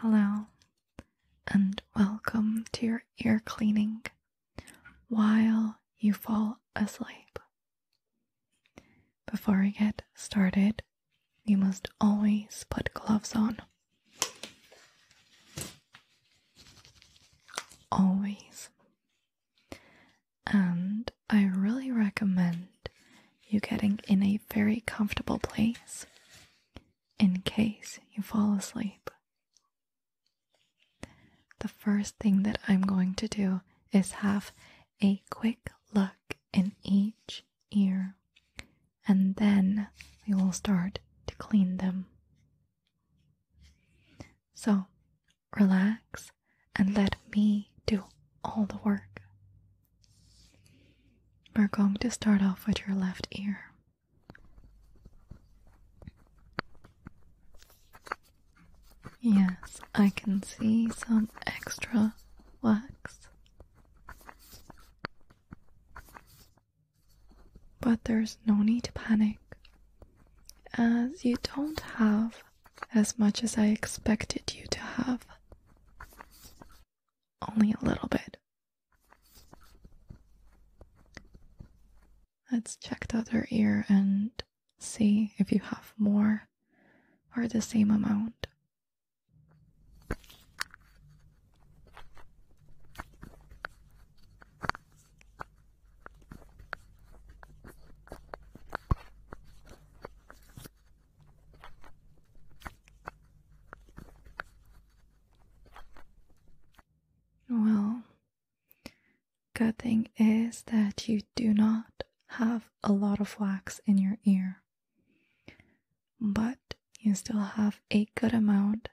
Hello, and welcome to your ear cleaning while you fall asleep. Before we get started, you must always put gloves on. Always. And I really recommend you getting in a very comfortable place in case you fall asleep. The first thing that I'm going to do is have a quick look in each ear, and then we will start to clean them. So relax and let me do all the work we're going to start off with your left ear. Yes, I can see some extra wax. But there's no need to panic, as you don't have as much as I expected you to have. Only a little bit. Let's check the other ear and see if you have more or the same amount. Well, good thing is that you do not have a lot of wax in your ear, but you still have a good amount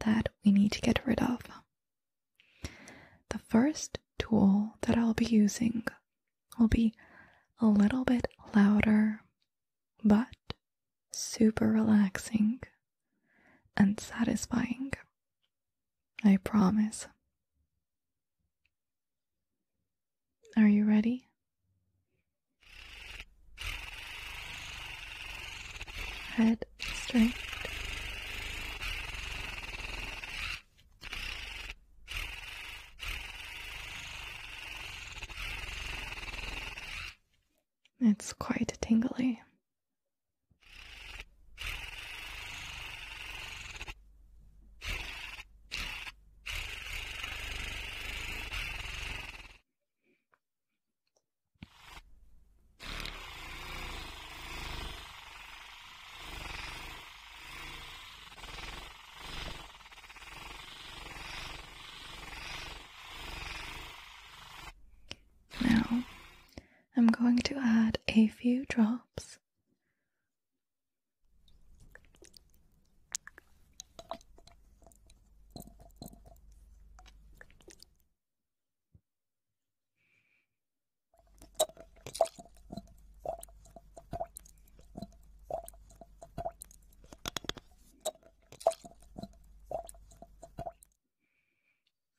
that we need to get rid of. The first tool that I'll be using will be a little bit louder but super relaxing and satisfying. I promise. Are you ready? Head straight. It's quite tingly. Now, I'm going to add a few drops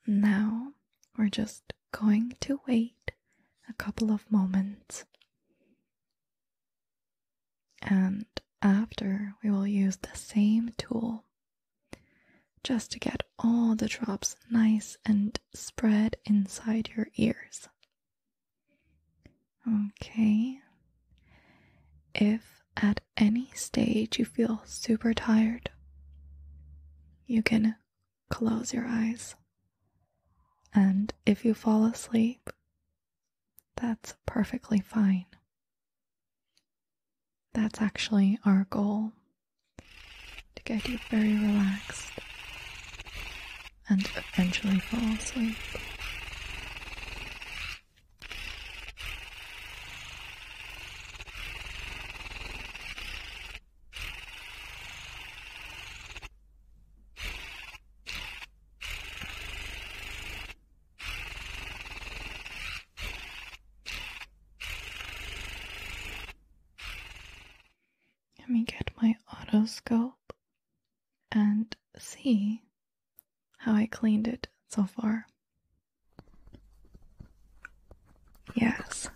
now we're just going to wait a couple of moments. And after, we will use the same tool just to get all the drops nice and spread inside your ears. Okay. If at any stage you feel super tired, you can close your eyes. And if you fall asleep, that's perfectly fine. That's actually our goal to get you very relaxed and eventually fall asleep. Let me get my otoscope and see how I cleaned it so far. Yes.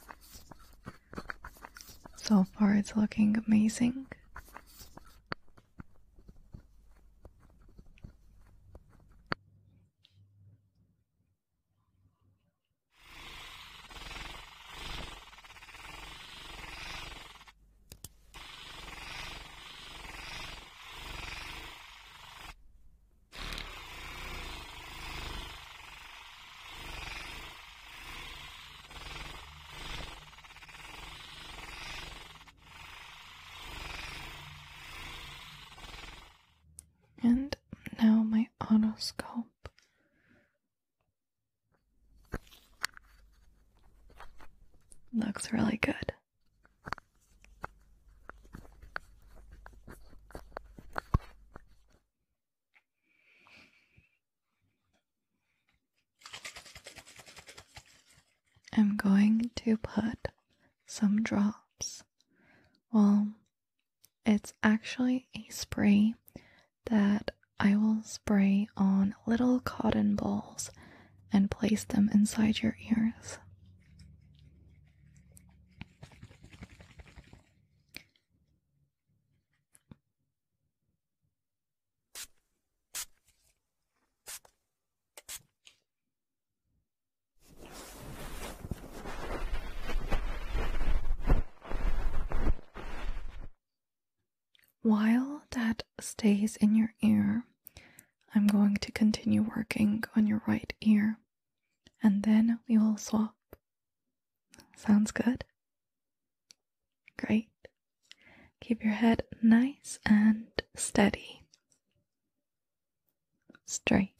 So far, it's looking amazing. And now my otoscope Looks really good. I'm going to put some drops. Well, it's actually a spray that I will spray on little cotton balls and place them inside your ears. While that stays in your ear, I'm going to continue working on your right ear and then we will swap. Sounds good? Great. Keep your head nice and steady. Straight.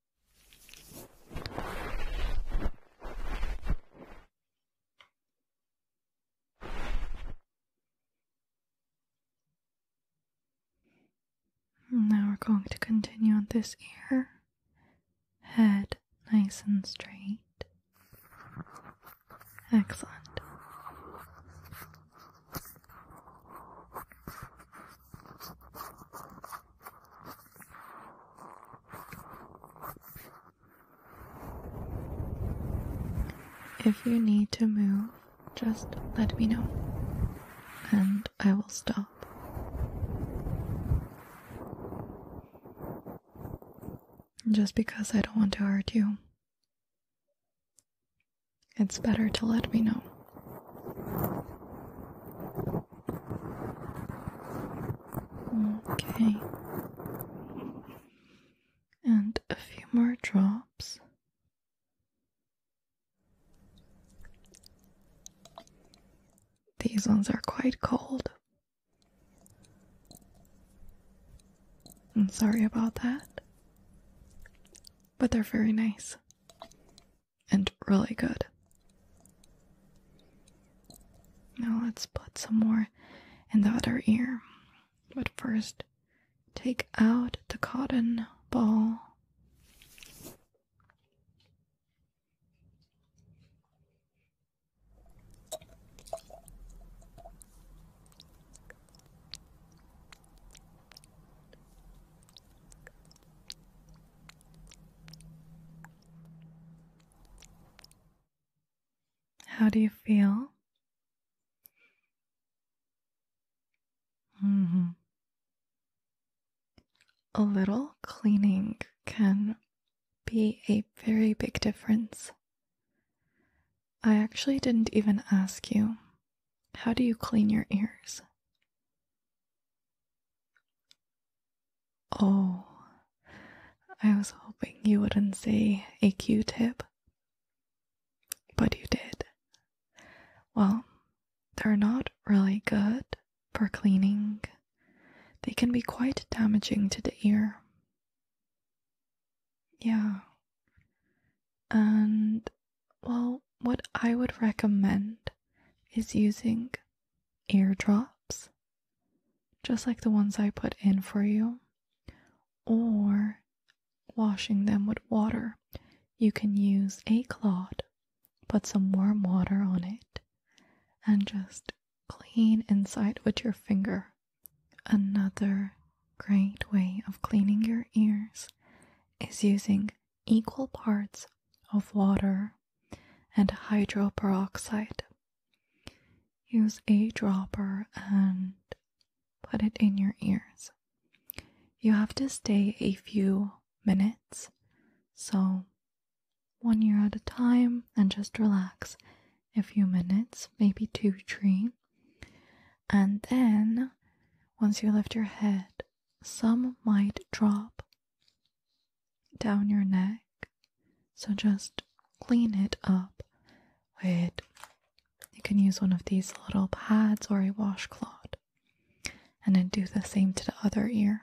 Now we're going to continue on this ear. Head nice and straight. Excellent. If you need to move, just let me know and I will stop. Just because I don't want to hurt you, it's better to let me know. Okay. And a few more drops. These ones are quite cold. I'm sorry about that. But they're very nice and really good. Now let's put some more in the other ear. But first, take out the cotton ball. How do you feel? Mm-hmm. A little cleaning can be a very big difference. I actually didn't even ask you. How do you clean your ears? Oh, I was hoping you wouldn't say a Q tip, but you did. Well, they're not really good for cleaning, they can be quite damaging to the ear. Yeah. And well, what I would recommend is using eardrops, just like the ones I put in for you, or washing them with water. You can use a cloth, put some warm water on it, and just clean inside with your finger. Another great way of cleaning your ears is using equal parts of water and hydroperoxide. Use a dropper and put it in your ears. You have to stay a few minutes, so one ear at a time and just relax a few minutes, maybe two, three. And then once you lift your head, some might drop down your neck. So just clean it up with, you can use one of these little pads or a washcloth, and then do the same to the other ear.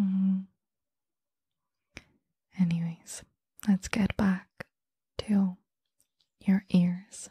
Mm-hmm. Anyways, let's get back to your ears.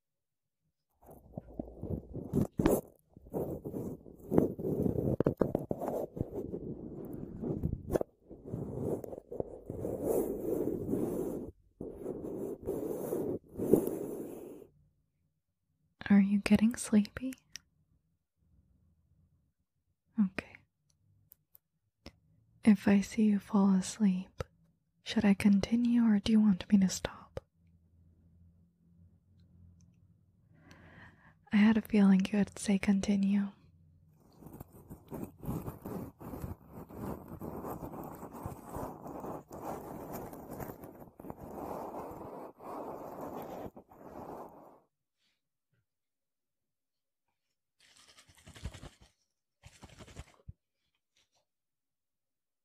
Are you getting sleepy? Okay. If I see you fall asleep, should I continue or do you want me to stop? I had a feeling you would say continue.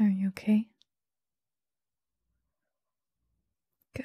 Are you okay? Good.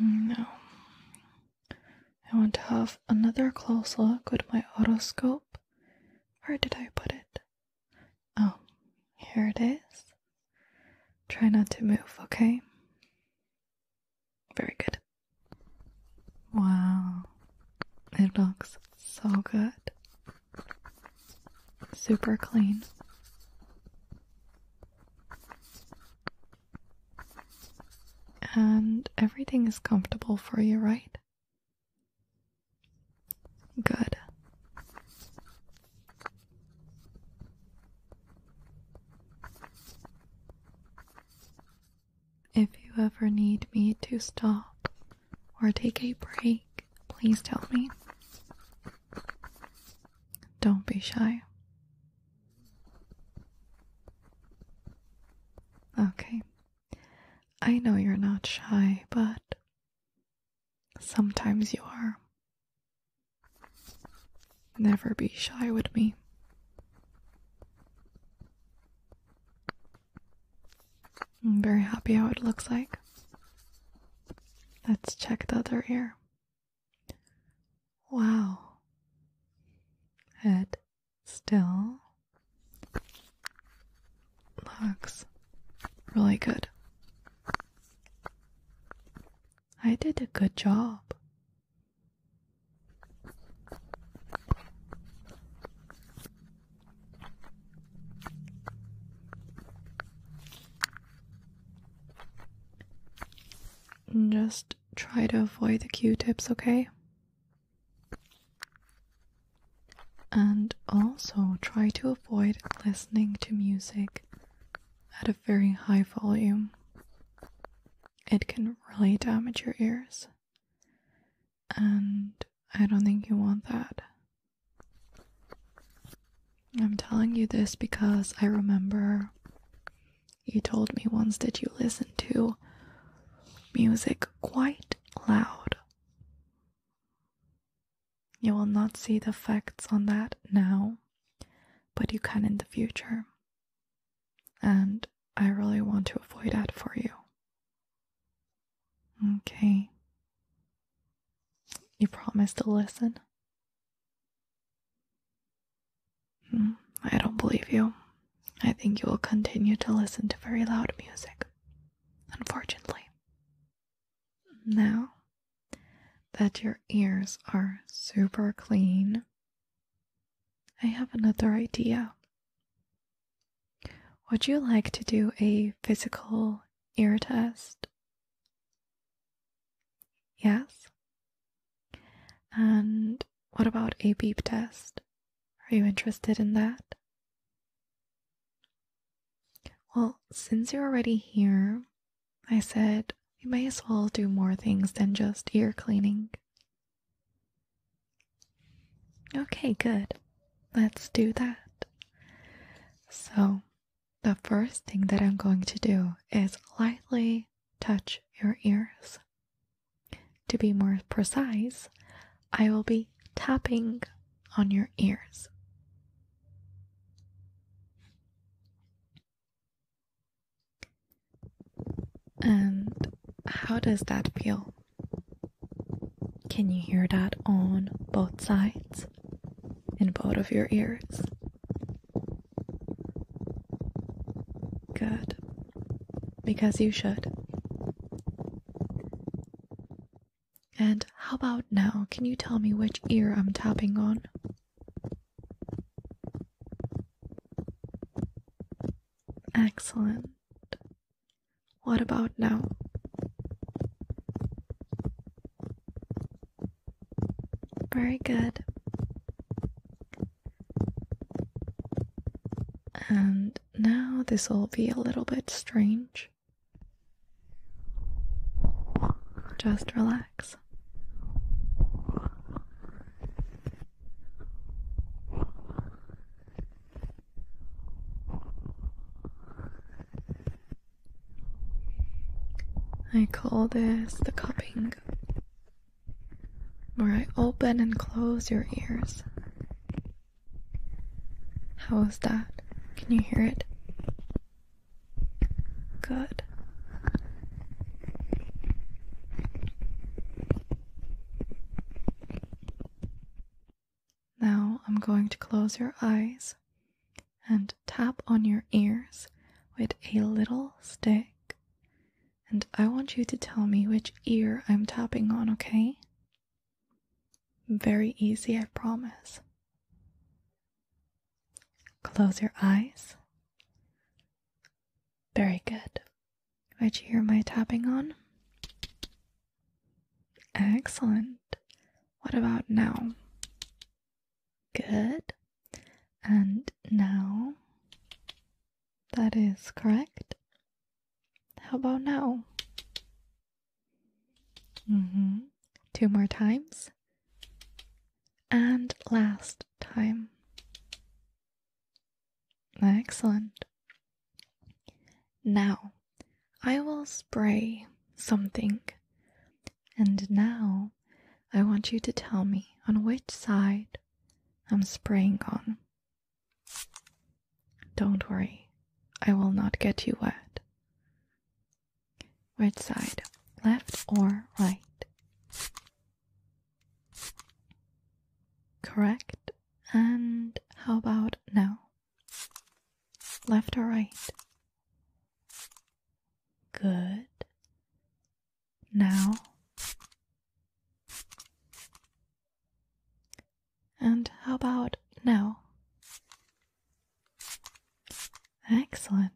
No. I want to have another close look with my otoscope. Where did I put it? Oh, here it is. Try not to move, okay? Very good. Wow, it looks so good. Super clean. And everything is comfortable for you, right? Good. If you ever need me to stop or take a break, please tell me. Don't be shy. Okay. I know you're not shy, but sometimes you are. Never be shy with me. I'm very happy how it looks like. Let's check the other ear. Wow. It still looks really good. I did a good job. Just try to avoid the q tips, okay? And also try to avoid listening to music at a very high volume. It can really damage your ears. And I don't think you want that. I'm telling you this because I remember you told me once that you listen to music quite loud. You will not see the effects on that now, but you can in the future. And I really want to avoid that for you. Okay. You promised to listen? Hmm, I don't believe you. I think you will continue to listen to very loud music, unfortunately. Now that your ears are super clean, I have another idea. Would you like to do a physical ear test? Yes. And what about a beep test? Are you interested in that? Well, since you're already here, I said we may as well do more things than just ear cleaning. Okay, good. Let's do that. So, the first thing that I'm going to do is lightly touch your ears. To be more precise, I will be tapping on your ears. And how does that feel? Can you hear that on both sides? In both of your ears? Good. Because you should. And how about now? Can you tell me which ear I'm tapping on? Excellent. What about now? Very good. And now this will be a little bit strange. Just relax. I call this the cupping, where I open and close your ears. How is that? Can you hear it? Good. Now I'm going to close your eyes and tap on your ears with a little stick. And I want you to tell me which ear I'm tapping on, okay? Very easy, I promise. Close your eyes. Very good. Did you hear my tapping on? Excellent. What about now? Good. And now? That is correct. How about now? hmm. Two more times. And last time. Excellent. Now, I will spray something. And now, I want you to tell me on which side I'm spraying on. Don't worry, I will not get you wet. Which side, left or right? Correct. And how about now? Left or right? Good. Now. And how about now? Excellent.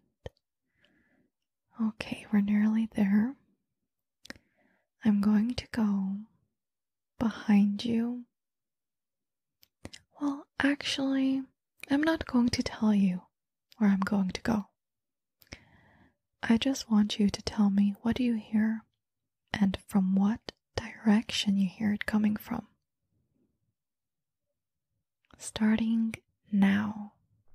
Okay, we're nearly there. I'm going to go behind you. Well, actually, I'm not going to tell you where I'm going to go. I just want you to tell me what you hear and from what direction you hear it coming from. Starting now.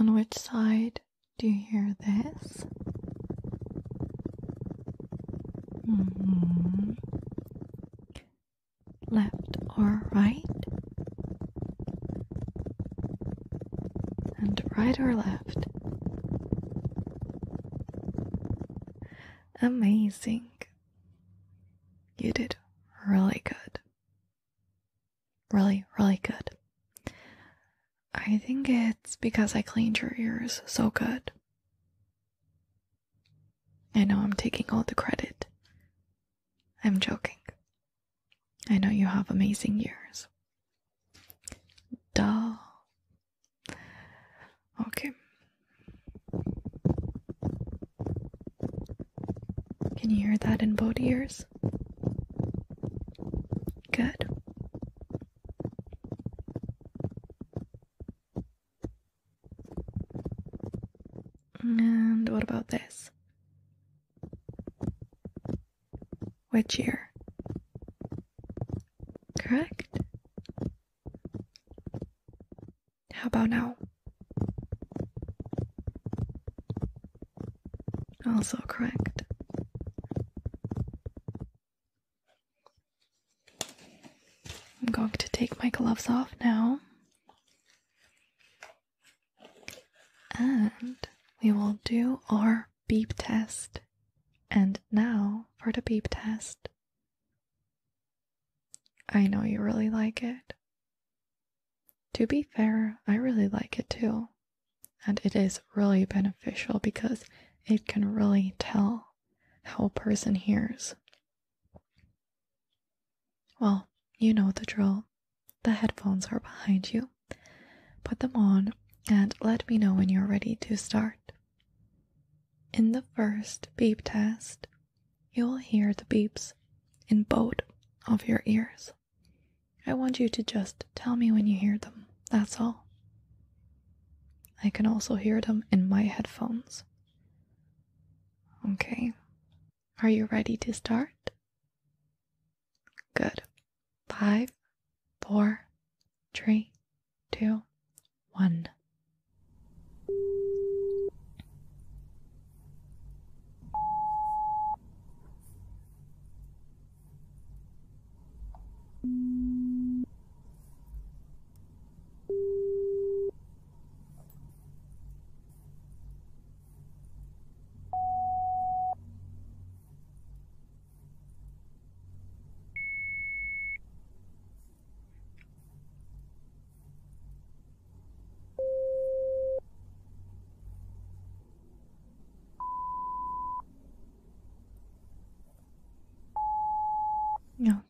On which side do you hear this? Mm-hmm left or right, and right or left. Amazing. You did really good. Really, really good. I think it's because I cleaned your ears so good. I know I'm taking all the credit, I'm joking. I know you have amazing ears. Duh. Okay. Can you hear that in both ears? Good. And what about this? Which year? Correct. How about now? Also correct. I'm going to take my gloves off now. And we will do our beep test. And now for the beep test. I know you really like it. To be fair, I really like it too. And it is really beneficial because it can really tell how a person hears. Well, you know the drill. The headphones are behind you. Put them on and let me know when you're ready to start. In the first beep test, you'll hear the beeps in both of your ears. I want you to just tell me when you hear them, that's all. I can also hear them in my headphones. Okay, are you ready to start? Good. Five, four, three, two, one.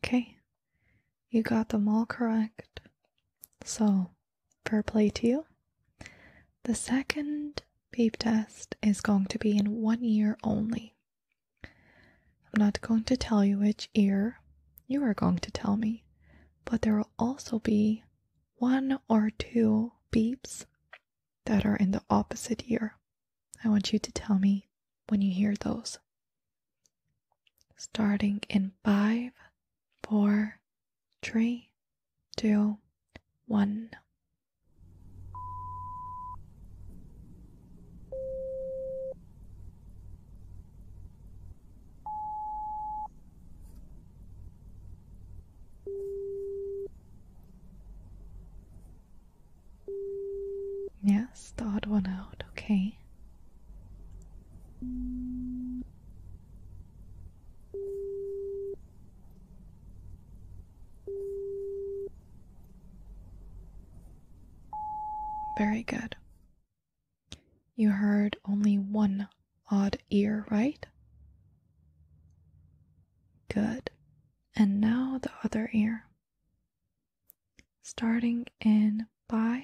Okay, you got them all correct. So Fair play to you. The second beep test is going to be in one ear only. I'm not going to tell you which ear you are going to tell me, but there will also be one or two beeps that are in the opposite ear. I want you to tell me when you hear those. Starting in five, four, three, two, one. Yes, start one out, okay. Very good. You heard only one odd ear, right? Good. And now the other ear. Starting in five,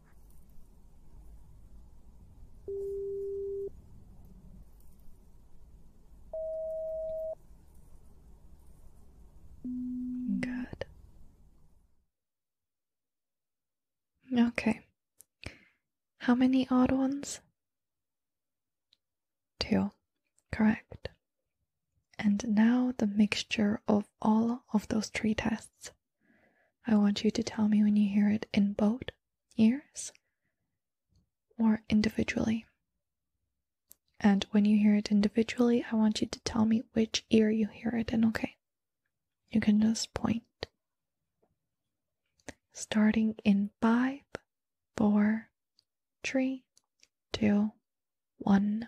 Good. Okay. How many odd ones? Two. Correct. And now the mixture of all of those three tests. I want you to tell me when you hear it in both ears more individually. And when you hear it individually, I want you to tell me which ear you hear it in, okay? You can just point. Starting in five, four, three, two, one.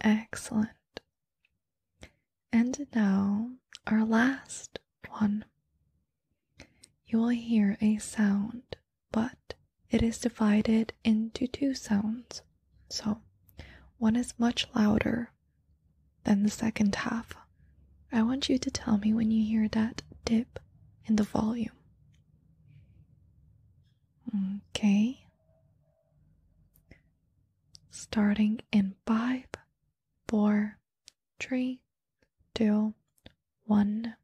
Excellent. And now, our last one. You will hear a sound, but it is divided into two sounds. So, one is much louder then the second half. I want you to tell me when you hear that dip in the volume. Okay. Starting in five, four, three, two, one.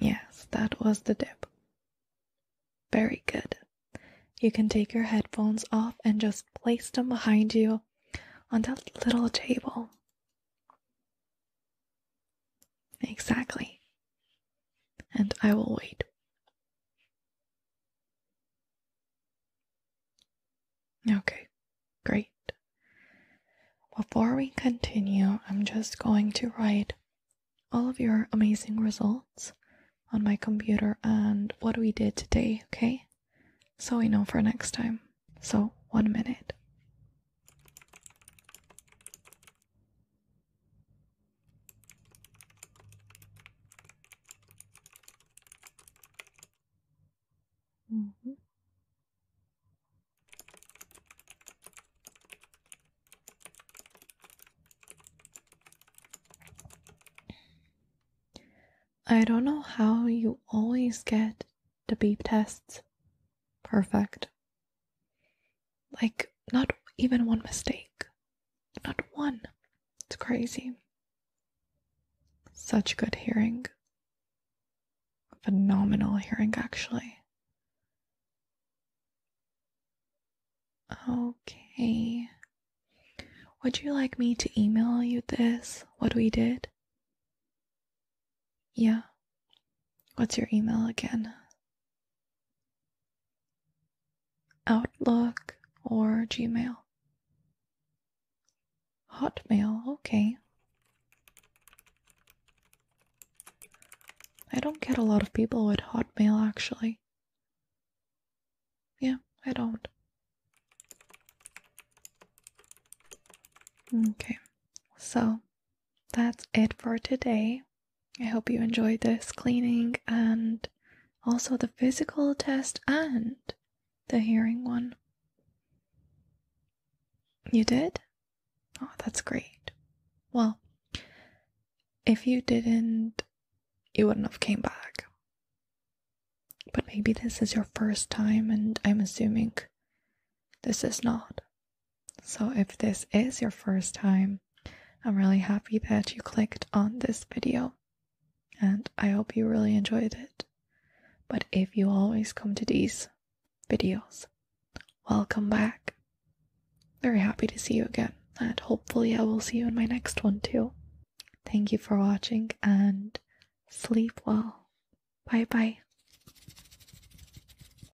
Yes, that was the dip. Very good. You can take your headphones off and just place them behind you on that little table. Exactly and I will wait. Okay, great. Before we continue, I'm just going to write all of your amazing results on my computer and what we did today, okay? So we know for next time. So, one minute. -hmm. I don't know how you always get the beep tests perfect. Like, not even one mistake. Not one. It's crazy. Such good hearing. Phenomenal hearing, actually. Okay. Would you like me to email you this, what we did? Yeah. What's your email again? Outlook or Gmail? Hotmail, okay. I don't get a lot of people with Hotmail actually. Yeah, I don't. Okay, so that's it for today. I hope you enjoyed this cleaning and also the physical test and the hearing one. You did? Oh, that's great. Well, if you didn't, you wouldn't have came back. But maybe this is your first time and I'm assuming this is not. So, if this is your first time, I'm really happy that you clicked on this video and I hope you really enjoyed it. But if you always come to these videos, welcome back. Very happy to see you again, and hopefully, I will see you in my next one too. Thank you for watching and sleep well. Bye bye.